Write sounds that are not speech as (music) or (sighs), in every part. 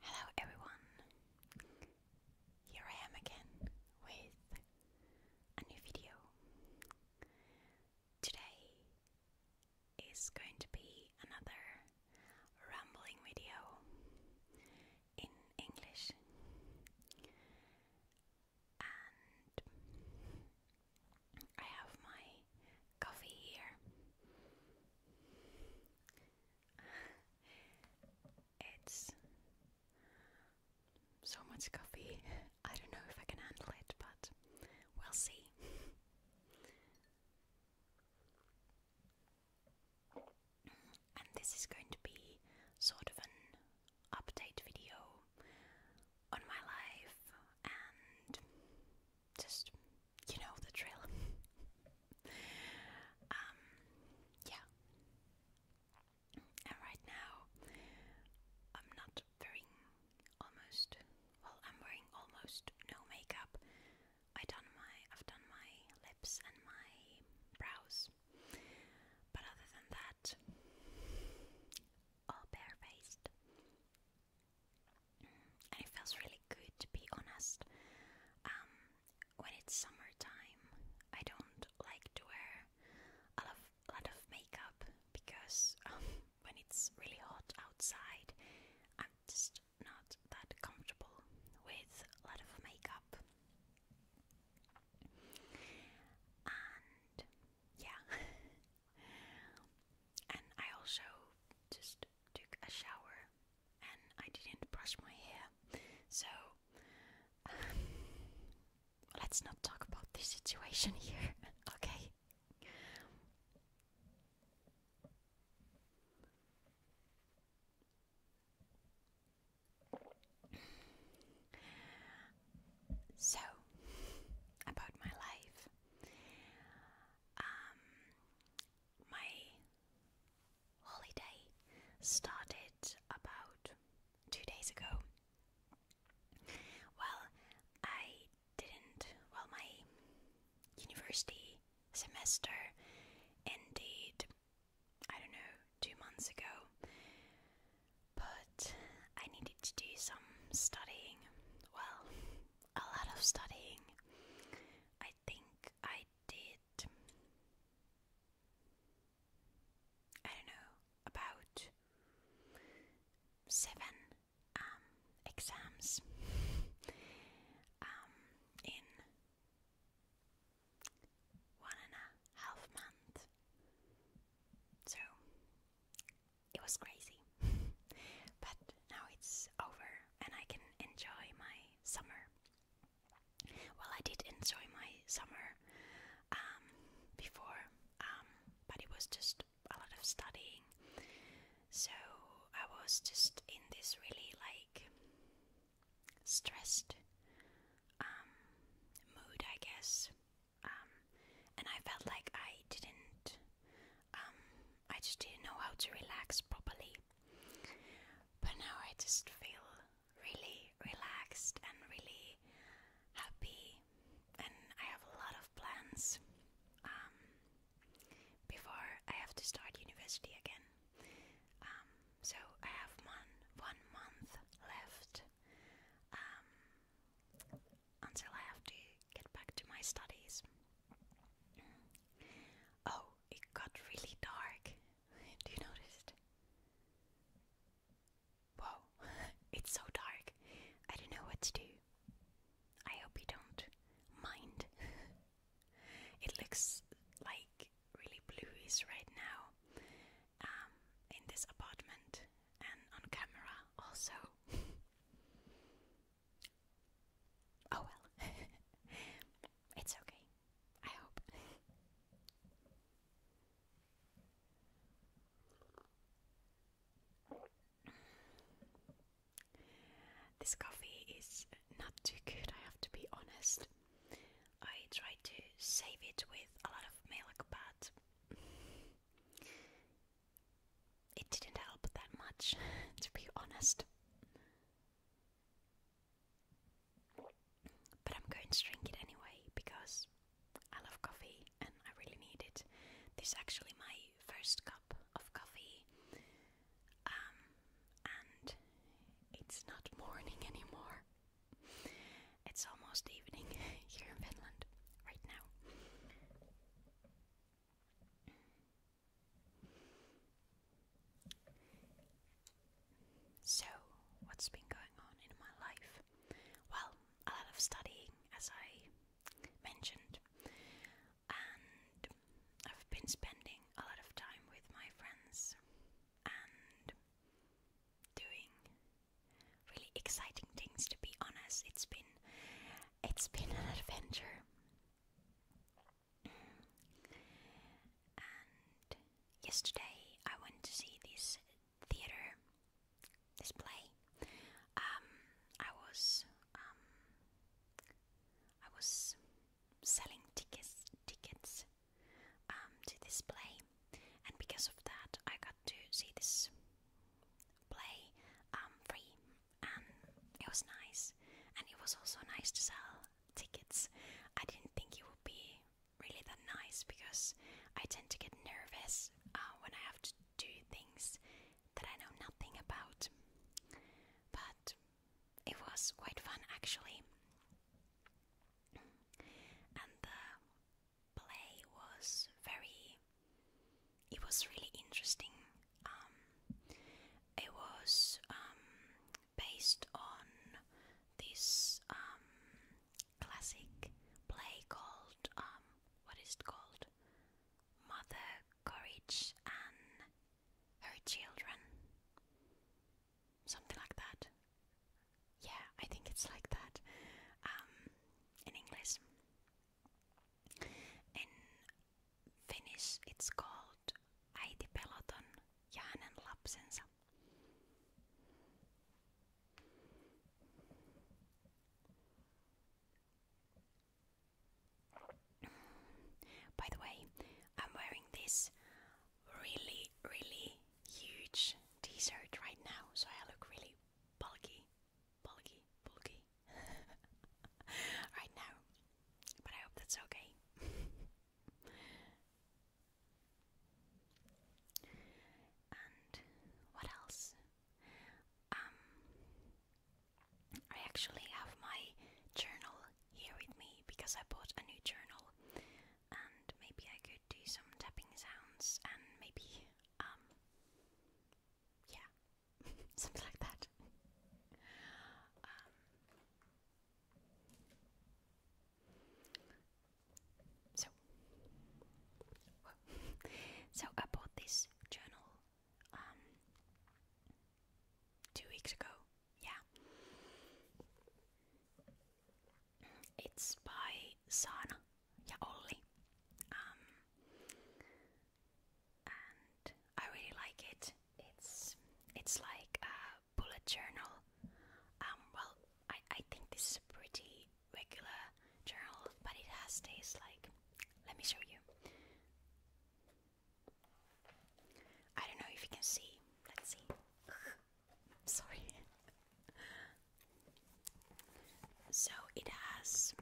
Hello everyone! Here I am again with a new video. Today is going to be another rambling video in English. And I have my coffee here. (sighs) it's so much coffee. (laughs) I don't know if I can handle it, but we'll see. (laughs) and this is going to be sort of an update video on my life and just you know the drill. (laughs) um, yeah. And right now, I'm not wearing almost. Well, I'm wearing almost no makeup. I done my, I've done my lips and my brows, but other than that, all barefaced and it feels really good to be honest. Um, when it's summertime, I don't like to wear a lot of, makeup because (laughs) um, when it's really hot outside, I'm just not that comfortable with a lot of makeup. And yeah, (laughs) and I also just took a shower and I didn't brush my hair. So, um, let's not talk about this situation (laughs) here, okay? So, about my life. Um, my holiday started about two days ago. Well, I didn't. Well, my university semester ended, I don't know, two months ago, but I needed to do some studying. Well, a lot of studying. I think I did, I don't know, about seven um, exams um, in one and a half month. So it was crazy but now it's over and I can enjoy my summer. Well, I did enjoy my summer um, before, um, but it was just a lot of studying. So I was just in this really like stressed um, mood, I guess. Um, and I felt like I didn't um, I just didn't know how to relax properly. But now I just feel really relaxed and really happy, and I have a lot of plans um, before I have to start university again. Um, so I have one one month left um, until I have to get back to my studies. Oh, it got really dark. (laughs) Do you notice it? (laughs) it's so dark. I don't know what to do. I hope you don't mind. (laughs) it looks like really bluish right now um, in this apartment and on camera also. Oh well. (laughs) it's okay. I hope. This coffee is not too good, I have to be honest. I try to save it with a lot of milk, but it didn't help that much, (laughs) to be honest. But I'm going to drink it anyway because I love coffee and I really need it. This is actually my first cup of coffee, um, and it's not (laughs) morning anymore. It's almost evening (laughs) here in Finland right now. So, what's been going on in my life? Well, a lot of studying, as I mentioned, and I've been spending a lot of time with my friends and doing really exciting things to be honest. It's been it's been an (laughs) adventure yesterday I went to see this theater, this um, I was um, I was selling tickets tickets um, to this play, and because of that, I got to see this play free and it was nice. And it was also nice to sell tickets. I didn't think it would be really that nice because I tend to get nervous uh, when I have to do things that I know nothing about. But it was quite fun actually. And the play was very it was really interesting. Um, it was um, based on this um, classic play called what is it called? Mother Courage and Her Children, something like that. Yeah, I think it's like that in English. In Finnish it's called Äiti peloton ja hänen lapsensa. By the way, I'm wearing this really, really huge t shirt right now, so I look really bulky bulky, bulky (laughs) right now. But I hope that's okay. and what else? Um, I actually have my journal here with me because I bought a new journal, and maybe I could do some tapping sounds and maybe, um, yeah, (laughs) something like that. Um, so, (laughs) so I bought this journal um, two weeks ago. Yeah, it's by Sana Yaoli. Um, and I really like it. It's it's like a bullet journal. Um, well, I I think this is a pretty regular journal, but it has these like. Let me show you. I don't know if you can see. Let's see. (laughs) Sorry. (laughs) so it has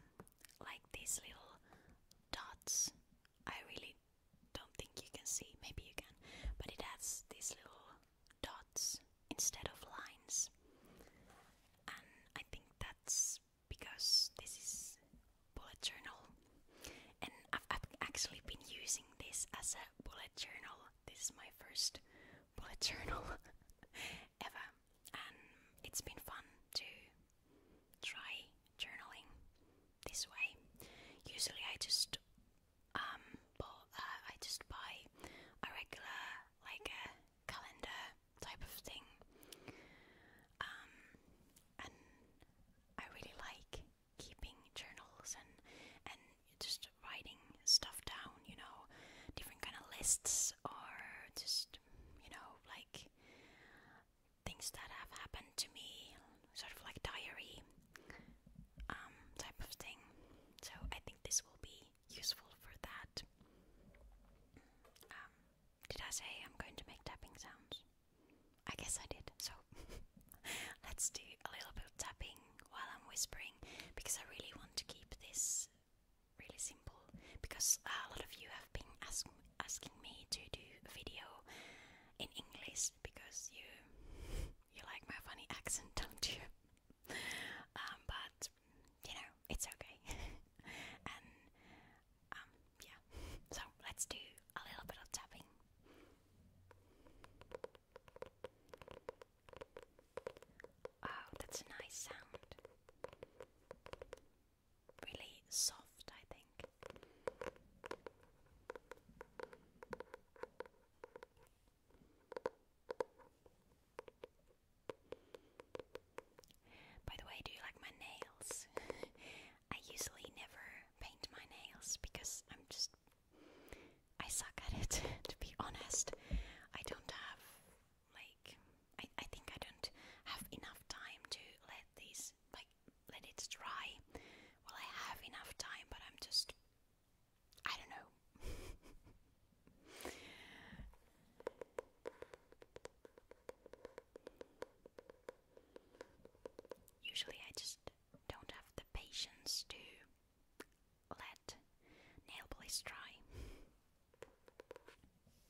like these little dots. I really don't think you can see, maybe you can, but it has these little dots instead of lines. And I think that's because this is bullet journal. And I've, actually been using this as a bullet journal. This is my first bullet (laughs) journal ever, and it's been fun too try journaling this way. Usually, I just um, bought, uh, I just buy a regular like a calendar type of thing, um, and I really like keeping journals and and just writing stuff down. You know, different kind of lists or just you know like things that have happened to me, sort of like diary um, type of thing. So I think this will be useful for that. Um, did I say I'm going to make tapping sounds? I guess I did. So (laughs) let's do a little bit of tapping while I'm whispering because I really want to keep this really simple because a lot of you have been ask asking me to do a video in English because you (laughs) you like my funny accent, (laughs) don't you? Um, but you know it's okay. (laughs) and um, yeah, so let's do a little bit of tapping. Oh, that's a nice sound really soft, I think. By the way, do you like my nails? (laughs) I usually never paint my nails because I'm just. I suck at it, (laughs) to be honest. I don't have, like, I, I think I don't have enough time to let this like let it dry. Well, I have enough time, but I'm just I don't know. (laughs) Usually, I just don't have the patience to let nail polish dry. (laughs)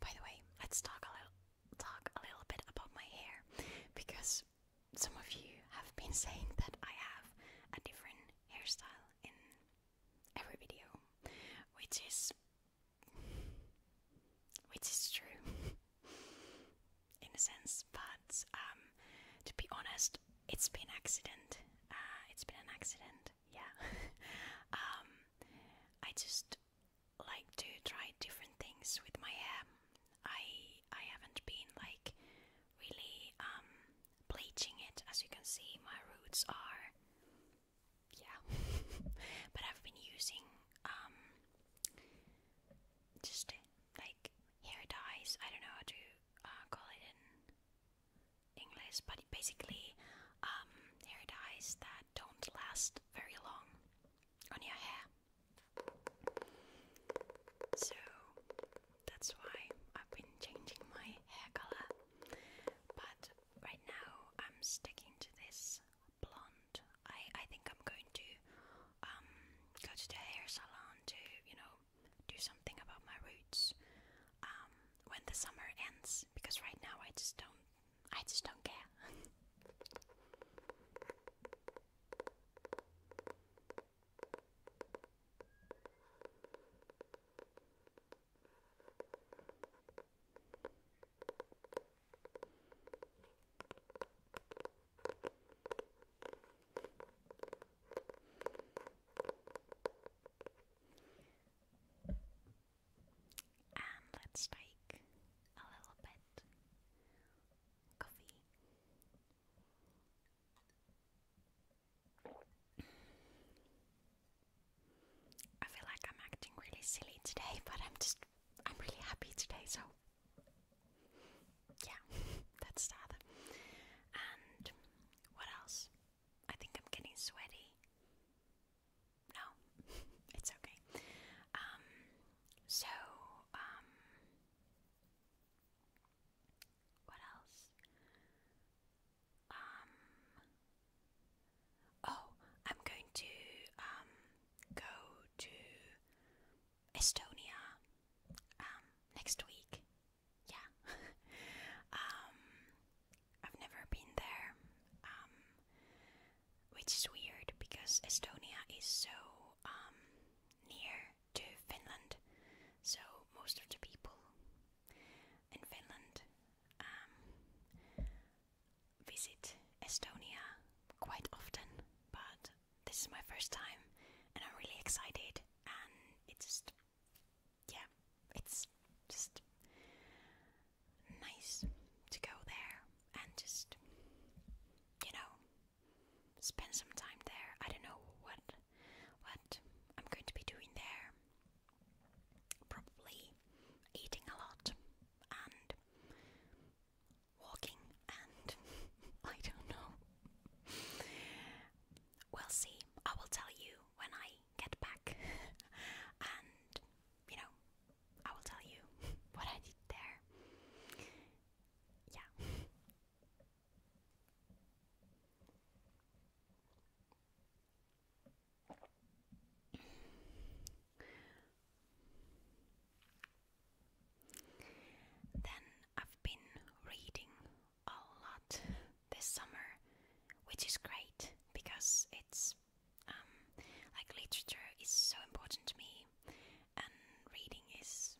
By the way, let's talk a little talk a little bit about my hair because some of you have been (laughs) saying that I have a different hairstyle in every video, which is which is true (laughs) in a sense, but um, to be honest, it's been accident. Uh, it's been an accident. Yeah. (laughs) um, I just like to try different things with my hair. I I haven't been like really um, bleaching it. As you can see, my roots are yeah, (laughs) but I've been using um, just like hair dyes. I don't know how to uh, call it in English, but basically, um, hair dyes that don't last very long on your hair. So that's why I've been changing my hair color, but right now I'm sticking to this blonde. I I think I'm going to um, go to the hair salon to you know do something about my roots um, when the summer ends because right now I just don't I just don't care. And let's take a little bit coffee. I feel like I'm acting really silly today, (laughs) but I'm just I'm really happy today, so yeah, (laughs) that's that. And what else? I think I'm getting sweaty no, (laughs) it's okay. Um, so, um, what else? Um, oh, I'm going to, um, go to Estonia, um, next week. Yeah. (laughs) um, I've never been there, um, which is weird because Estonia is so um, near to Finland, so most of the people in Finland um, visit Estonia quite often, but this is my first time and I'm really excited and it's just yeah, it's just nice to go there and just, you know, spend some time there. I don't know what what I'm going to be doing there. Probably eating a lot and walking and (laughs) I don't know. We'll see. I will tell you when I get back, (laughs) and you know, I will tell you (laughs) what I did there. Yeah. (sighs) Then I've been reading a lot this summer, which is great because it's um, like literature is so important to me, and reading is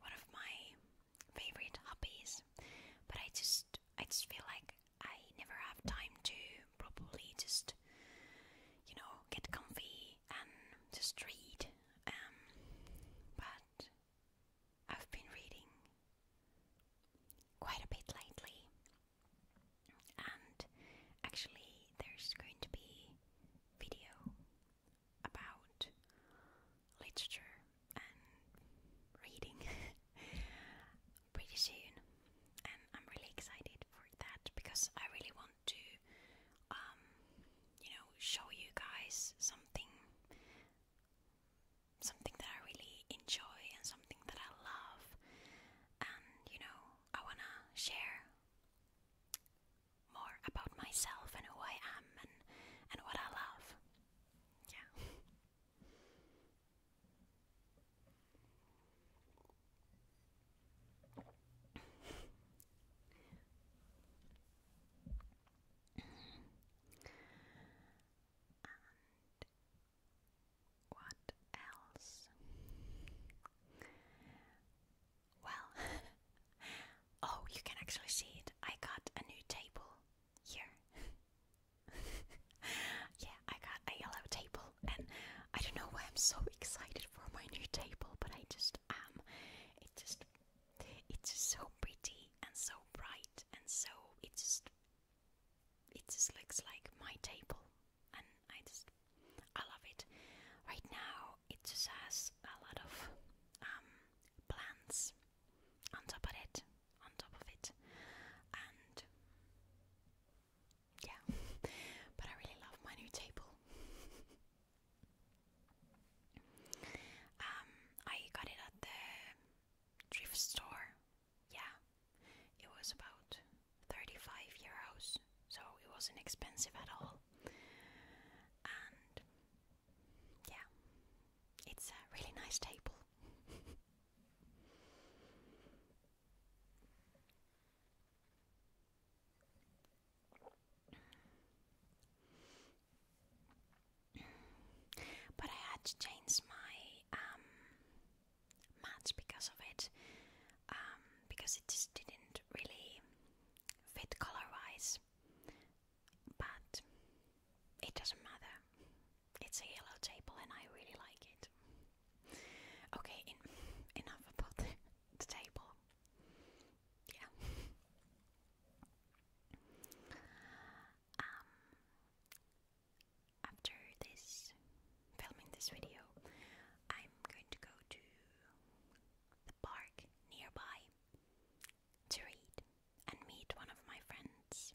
one of my favorite hobbies. But I just, I just feel like I never have time to probably just, you know, get comfy and just read. Um, but I've been reading quite a bit lately, and actually, there's going to be video about literature and reading (laughs) pretty soon, and I'm really excited for that because I really want to, um, you know, show you guys something something that I really enjoy and something that I love, and you know, I wanna share more about myself and who I am and, and what I love. Yeah. (laughs) What else? Well, (laughs) oh, you can actually see it. I got a new table here. (laughs) yeah, I got a yellow table, and I don't know why I'm so excited for my new table, but I just am. It just, it's so pretty and so bright and so. It just, it just looks like my table, and I just I love it. Right now, it just has a lot of um, plants on top of it, on top of it, and yeah. (laughs) but I really love my new table. (laughs) um, I got it at the thrift store yeah, it was about 35 euros, so it wasn't expensive at all. And yeah, it's a really nice table. but I had to change my um, much because of it, um, because it just didn't really fit color wise. But it doesn't matter. It's a yellow table, and I really like it. Okay, in, enough about the, the table. Yeah. Um, after this filming this video, I'm going to go to the park nearby to read and meet one of my friends,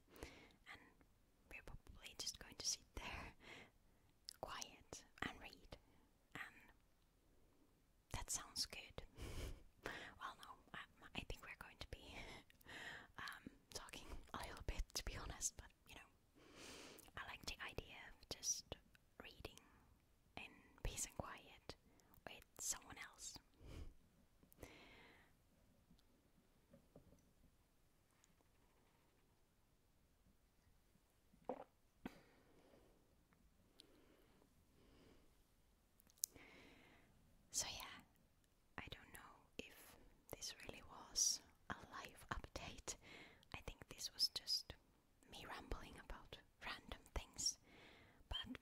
and we're probably just going to sit there (laughs) quiet and read. And that sounds good. (laughs) well, no, I, think we're going to be (laughs) Um, talking a little bit, to be honest, but you know, I like the idea of just reading in peace and quiet with someone else. So, yeah, I don't know if this really was a live update. I think this was just me rambling about random things. But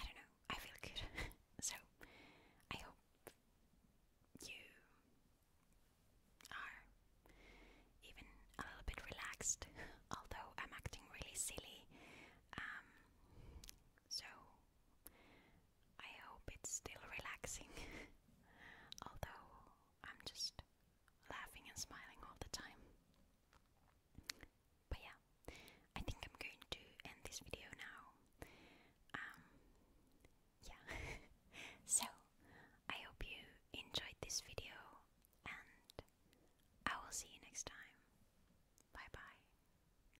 I don't know, I feel good. (laughs) so I hope you are even a little bit relaxed, (laughs) although I'm acting really silly. Um, so I hope it's still relaxing, (laughs) although I'm just laughing and smiling all the time. But yeah, I think I'm going to end this video now. Um, yeah. (laughs) so I hope you enjoyed this video, and I will see you next time. Bye bye.